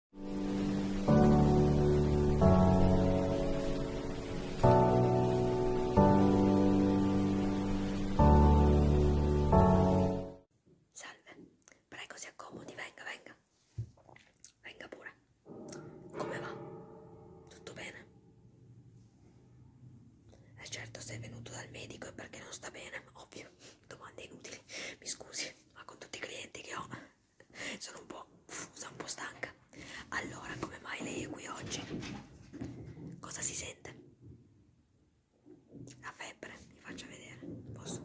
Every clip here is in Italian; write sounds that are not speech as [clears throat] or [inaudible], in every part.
Salve, prego si accomodi, venga, venga. Venga pure. Come va? Tutto bene? E eh certo, sei venuto dal medico e perché non sta bene, ovvio. Domande inutili, mi scusi, ma con tutti i clienti che ho [laughs] sono un po', sono un po' stanca. Allora, come mai lei è qui oggi? Cosa si sente? La febbre, vi faccio vedere. Posso?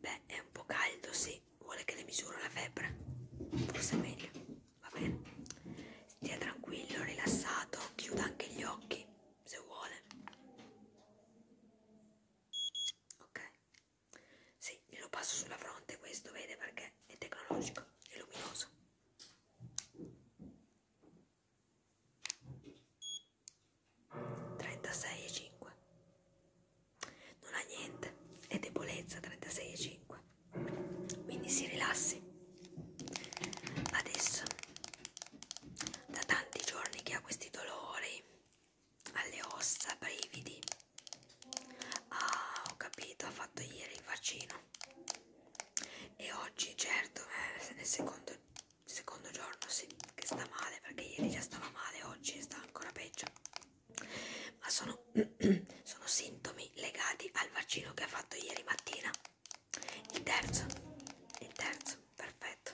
Beh, è un po' caldo, sì. Vuole che le misuro la febbre? Forse è meglio. Va bene. Stia tranquillo, rilassato, chiuda anche gli occhi se vuole ok sì, glielo passo sulla fronte questo vede perché è tecnologico è luminoso trentasei e cinque non ha niente è debolezza 36,5 quindi si rilassi adesso da tanti giorni che ha questi dolori alle ossa, brividi ah ho capito ha fatto ieri il vaccino e oggi certo eh, è il secondo, secondo giorno sì che sta male perché ieri già stava male oggi sta ancora peggio ma sono, [clears throat] sono sintomi legati al vaccino che ha fatto ieri mattina il terzo, il terzo, perfetto.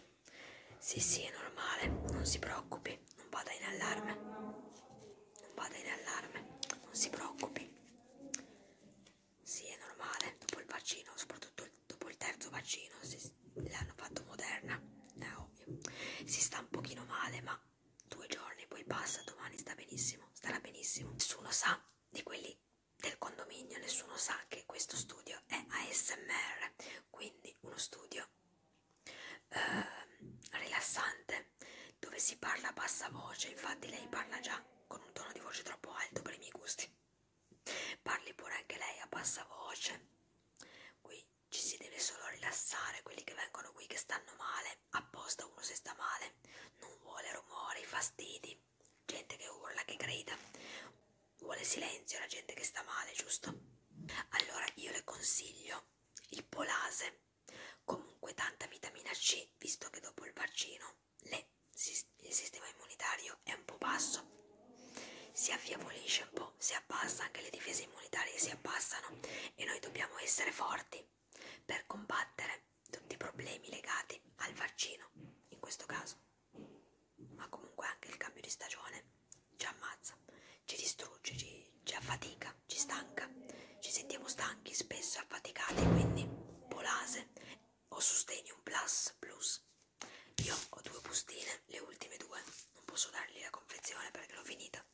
Sì, sì, è normale, non si preoccupi, non vada in allarme. Non vada in allarme, non si preoccupi. Sì, è normale, dopo il vaccino, soprattutto dopo il terzo vaccino, l'hanno fatto moderna, è ovvio. Si sta un pochino male, ma due giorni, poi passa, domani sta benissimo, starà benissimo. Nessuno sa di quelli del condominio, nessuno sa che questo studio è ASMR, quindi uno studio eh, rilassante dove si parla a bassa voce, infatti lei parla già con un tono di voce troppo alto per i miei gusti. Parli pure anche lei a bassa voce. Qui ci si deve solo rilassare, quelli che vengono qui che stanno male apposta uno se sta male, non vuole rumori, fastidi, gente che urla, che grida, vuole silenzio la gente che sta male, giusto? Allora io le consiglio il polase, comunque tanta vitamina C, visto che dopo il vaccino le, il sistema immunitario è un po' basso, si affievolisce un po', si abbassa, anche le difese immunitarie si abbassano e noi dobbiamo essere forti per combattere tutti i problemi legati al vaccino, in questo caso, ma comunque anche il cambio di stagione ci ammazza, ci distrugge, ci, ci affatica, ci stanca, ci sentiamo stanchi, spesso affaticati, quindi polase o sustenium plus plus. Io ho due bustine, le ultime due, non posso dargli la confezione perché l'ho finita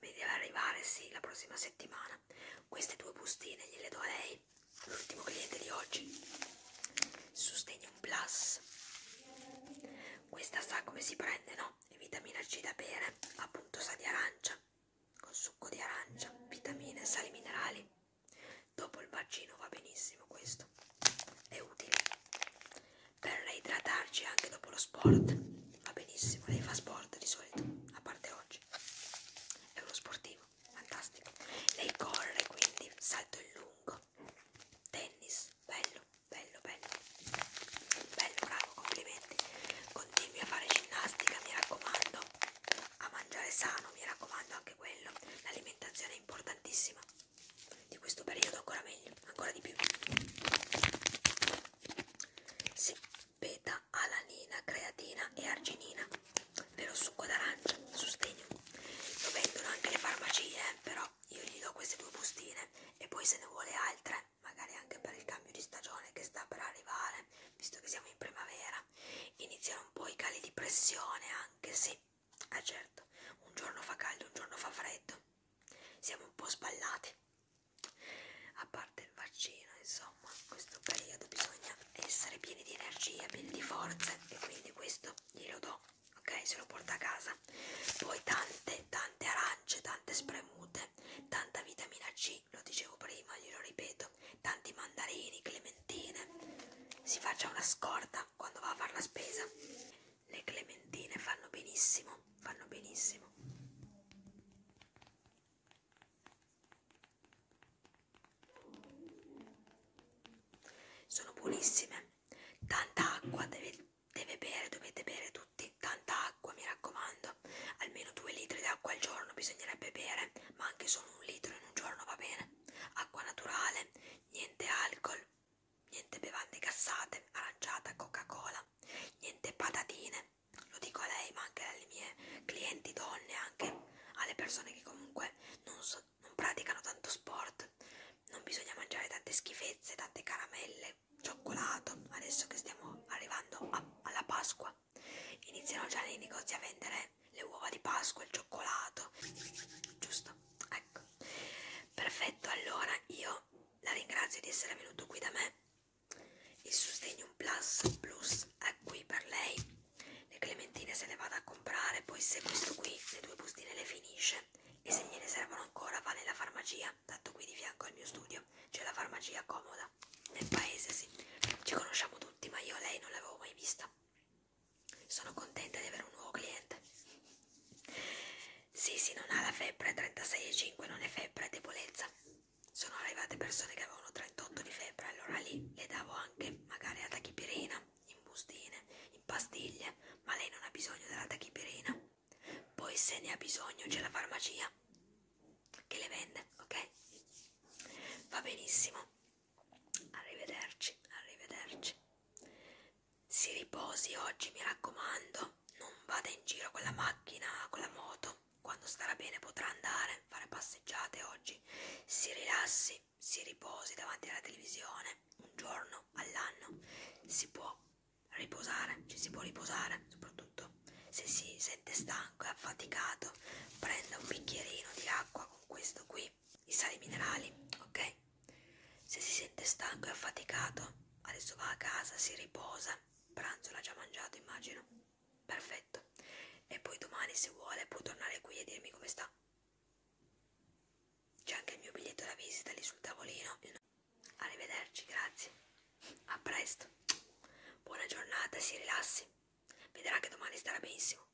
mi deve arrivare sì la prossima settimana queste due bustine gliele do a lei l'ultimo cliente di oggi sostegno un plus questa sa come si prende no? è vitamina C da bere appunto sa di arancia con succo di arancia vitamine sali minerali dopo il bacino va benissimo questo è utile per reidratarci anche dopo lo sport. Va benissimo, lei fa sport di solito, a parte oggi. È uno sportivo, fantastico. Lei corre, quindi salto in lungo. Tennis, bello, bello, bello. Bello, bravo, complimenti. Continui a fare ginnastica, mi raccomando. A mangiare sano, mi raccomando anche quello. L'alimentazione è importantissima. Di questo periodo ancora meglio, ancora di più. Sì, beta, alanina, creatina e arginina. Vero succo d'arancia, sostegno. Lo vendono anche alle farmacie, eh, però io gli do queste due bustine e poi se ne vuole altre, magari anche per il cambio di stagione che sta per arrivare, visto che siamo in primavera, iniziano un po' i cali di pressione anche, sì, ah eh, certo, un giorno fa caldo, un giorno fa freddo, siamo un po' sballati a parte il vaccino insomma in questo periodo bisogna essere pieni di energia pieni di forze e quindi questo glielo do ok se lo porta a casa poi tante tante arance tante spremute tanta vitamina C lo dicevo prima glielo ripeto tanti mandarini clementine si faccia una scorta quando va a fare la spesa le clementine fanno benissimo, fanno benissimo. Sono buonissime. Tanta acqua deve, deve bere, dovete bere tutti, tanta acqua mi raccomando. Almeno 2 litri d'acqua al giorno bisognerebbe bere, ma anche solo un litro in un giorno va bene. Acqua naturale, niente alcol, niente bevande gassate, aranciata, Coca-Cola, niente patatine. Lo dico a lei, ma anche alle mie clienti donne, anche alle persone che comunque non, so, non praticano tanto sport. Non bisogna mangiare tante schifezze, tante caramelle, cioccolato. Adesso che stiamo arrivando a, alla Pasqua, iniziano già nei negozi a vendere le uova di Pasqua, il cioccolato. Giusto? Ecco. Perfetto, allora io la ringrazio di essere venuto qui da me. Il sostegno plus plus è qui per lei. Le clementine se le vado a comprare, poi se questo qui, le due bustine le finisce e se gliene servono ancora va nella farmacia, tanto qui di fianco al mio studio c'è la farmacia comoda. Nel paese sì, ci conosciamo tutti, ma io lei non l'avevo mai vista. Sono contenta di avere un nuovo cliente. Sì, sì, non ha la febbre, 36,5 non è febbre, è debolezza. Sono arrivate persone che avevano 38 di febbre, allora lì le davo anche magari la tachipirina, in bustine, in pastiglie, ma lei non ha bisogno della tachipirina. Poi se ne ha bisogno c'è la farmacia che le vende, ok? Va benissimo. Arrivederci, arrivederci si riposi oggi, mi raccomando, non vada in giro con la macchina, con la moto, quando starà bene potrà andare, fare passeggiate oggi, si rilassi, si riposi davanti alla televisione, un giorno all'anno si può riposare, ci si può riposare, soprattutto se si sente stanco e affaticato, prenda un bicchierino di acqua con questo qui zuccheri, i sali minerali, ok? Se si sente stanco e affaticato, adesso va a casa, si riposa, pranzo l'ha già mangiato immagino, perfetto. E poi domani se vuole può tornare qui e dirmi come sta. C'è anche il mio biglietto da visita lì sul tavolino. Arrivederci, grazie. A presto. Buona giornata, si rilassi. Vedrà che domani starà benissimo.